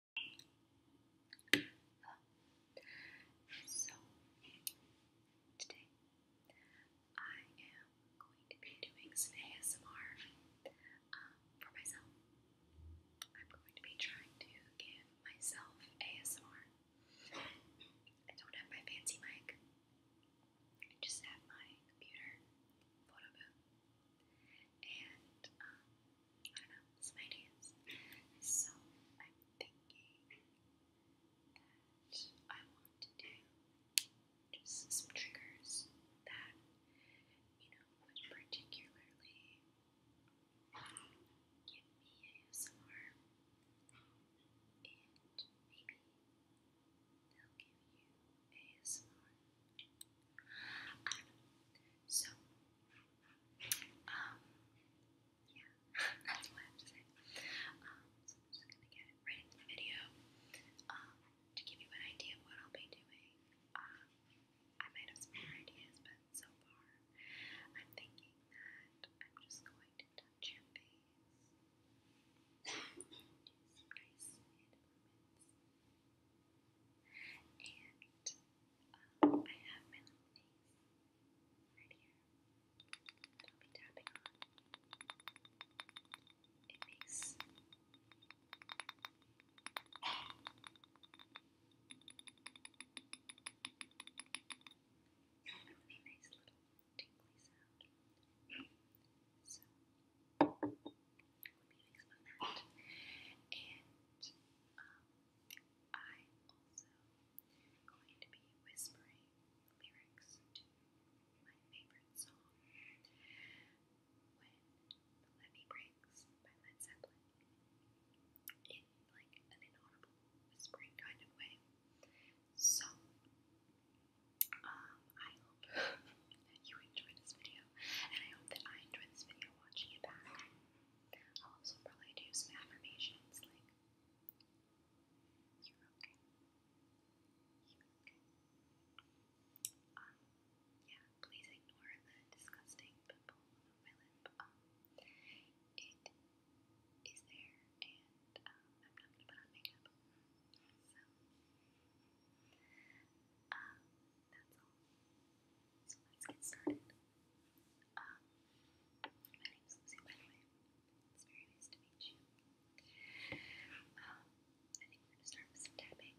Hello. So today I am going to be doing some ASMR uh, for myself. I'm going to be trying to give myself ASMR. I don't have my fancy mic. I just have my computer and um, I don't know, some ideas. So I'm thinking that I want to do just some triggers that you know would particularly give me ASMR, and maybe they'll give you ASMR. I um, don't know. So um, yeah, that's what I have to say. Um, so I'm just gonna get right into the video. Um, to give you an idea of what I'll be doing, um, I might have some more ideas, but so far I'm thinking that I'm just going to touch your do some nice and um, I have my little things right here that i be tapping on. It makes a really nice little tingly sound. So we'll be using some of that. I also going to be whispering lyrics to my favorite song, When the Levee Breaks by Led Zeppelin, in like an inaudible whispering kind of way. So, um, I hope that you enjoyed this video, and I hope that I enjoyed this video watching it back. I'll also probably do some affirmations like, you're okay. You're okay. Um, yeah, please ignore the disgusting pimple on my lip. Um, it is there, and um, I'm not gonna put on makeup. So, um, that's all. So let's get started. Um, my name's Lucy, by the way. It's very nice to meet you. Um, I think we're going to start with some tapping.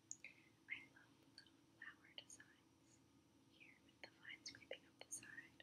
I love little flower designs here with the vines creeping up the side.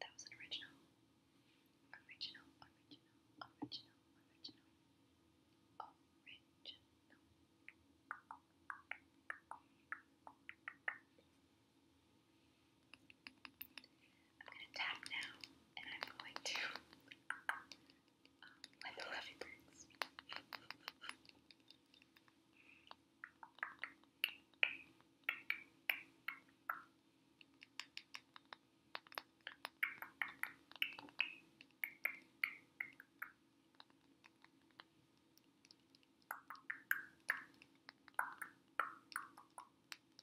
That was original. Original, original, original, original. Original. I'm gonna tap now, and I'm going to uh, let the levy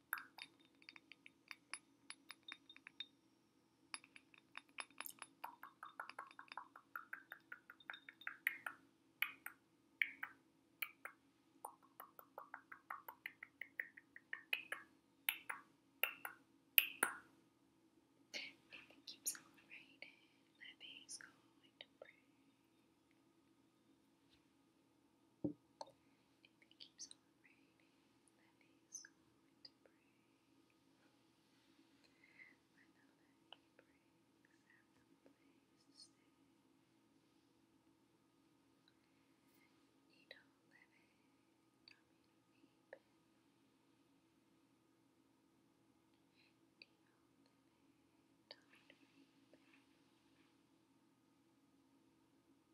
If it keeps on raining, my baby's going to break. If it keeps on raining, levees go on to break. When the levee breaks, have no place stay. Need no levee, Tommy to weep in. Need no levee, Tommy to weep in. Need no levee, Tommy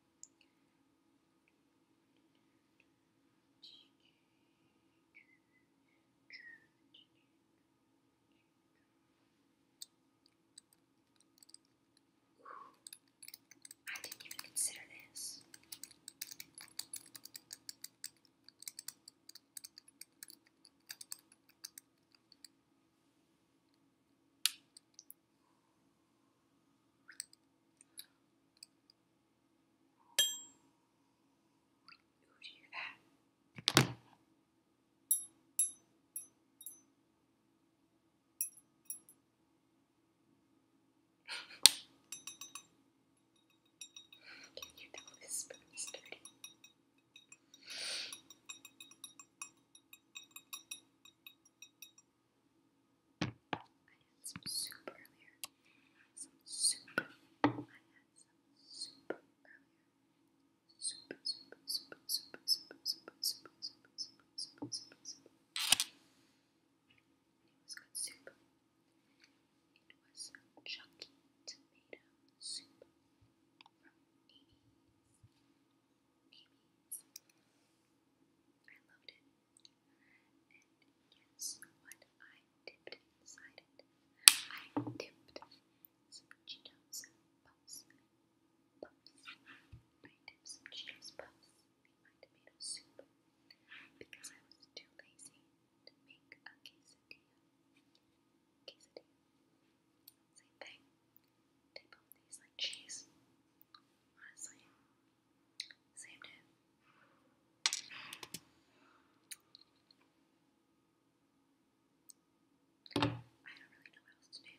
Ooh, I didn't even consider this. Who do you that? Can you tell this spoon is dirty? I had some soup earlier. some soup. I had some soup earlier. Soup, soup, soup, soup, soup, soup, soup, soup, soup, soup, soup, soup. And it was good soup. It was chunky tomato soup from Amy's. Amy's. I loved it. And what I dipped inside it? I dipped some Cheetos Puffs. Puffs. I dipped some Cheetos Puffs in my tomato soup because I was too lazy to make a quesadilla. Same thing. They both taste like cheese. Honestly, Saved it. I don't really know what else to do.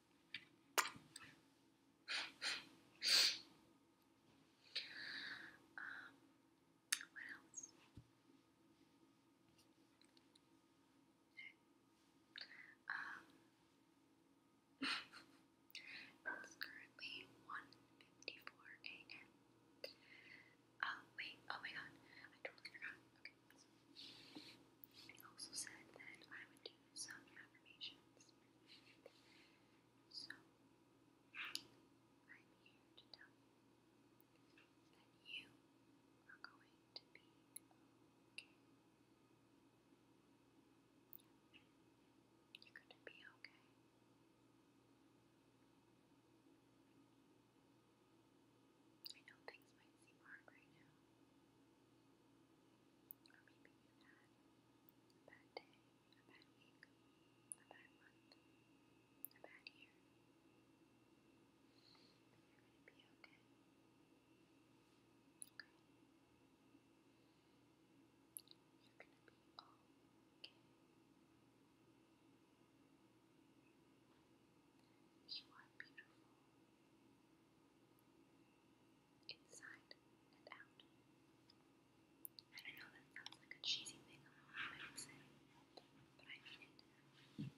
Um, what else? Um, it's currently 1.54 a.m. Oh, wait, oh my god, I totally forgot. Okay, I also said that I would some affirmations. So, I'm here to tell you that you are going to be okay. You're going to be okay. I know things might seem hard right now. Or maybe you had a bad day, a bad week, a bad month, a bad year. you're going to be okay. Okay? You're going to be okay. You are beautiful inside and out. And I know that sounds like a cheesy thing a mom might say, but I mean it. You're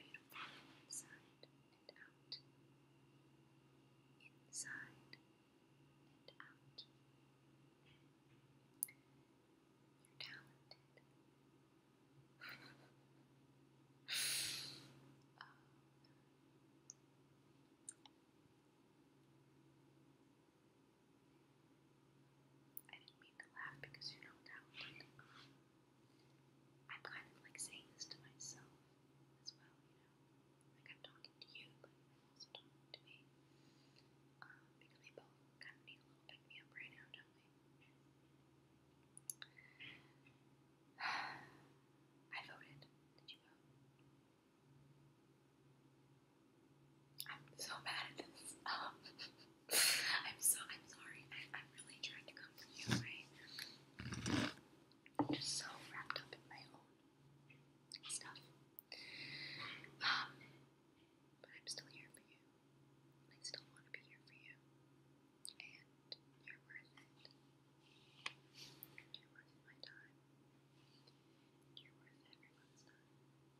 beautiful inside and out. Inside and out. You're talented. Oh, I didn't mean to laugh because you're not talented. I'm kind of like saying this to myself as well, you know. Like I'm talking to you, but I'm also talking to me. Um, because we both kind of need a little pick me up right now, don't we? I voted. Did you I'm so bad at this. I'm so I'm sorry. I, am really trying to come to you. I, just so wrapped up in my own stuff. Um, but I'm still here for you. I still want to be here for you and you're worth it. You're worth my time. You're worth everyone's time.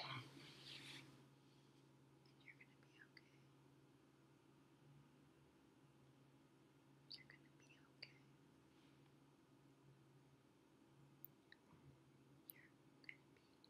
And you're gonna be okay. You're gonna be okay. You're gonna be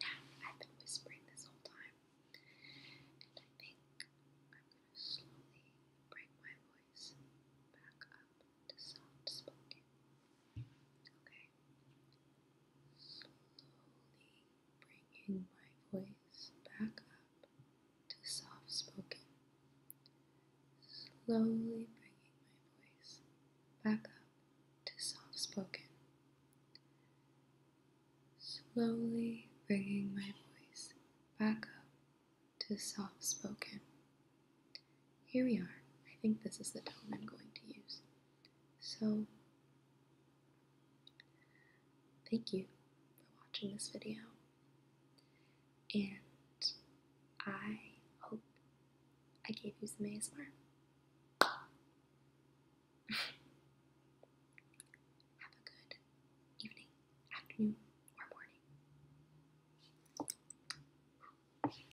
Now, I've been whispering this whole time, and I think I'm gonna slowly bring my voice back up to soft spoken. Okay. Slowly bringing my voice back up to soft spoken. Slowly bringing my voice back up to soft spoken. Slowly bringing my voice back up to soft spoken. Here we are. I think this is the tone I'm going to use. So, thank you for watching this video, and I hope I gave you some ASMR. Have a good evening, afternoon, or morning.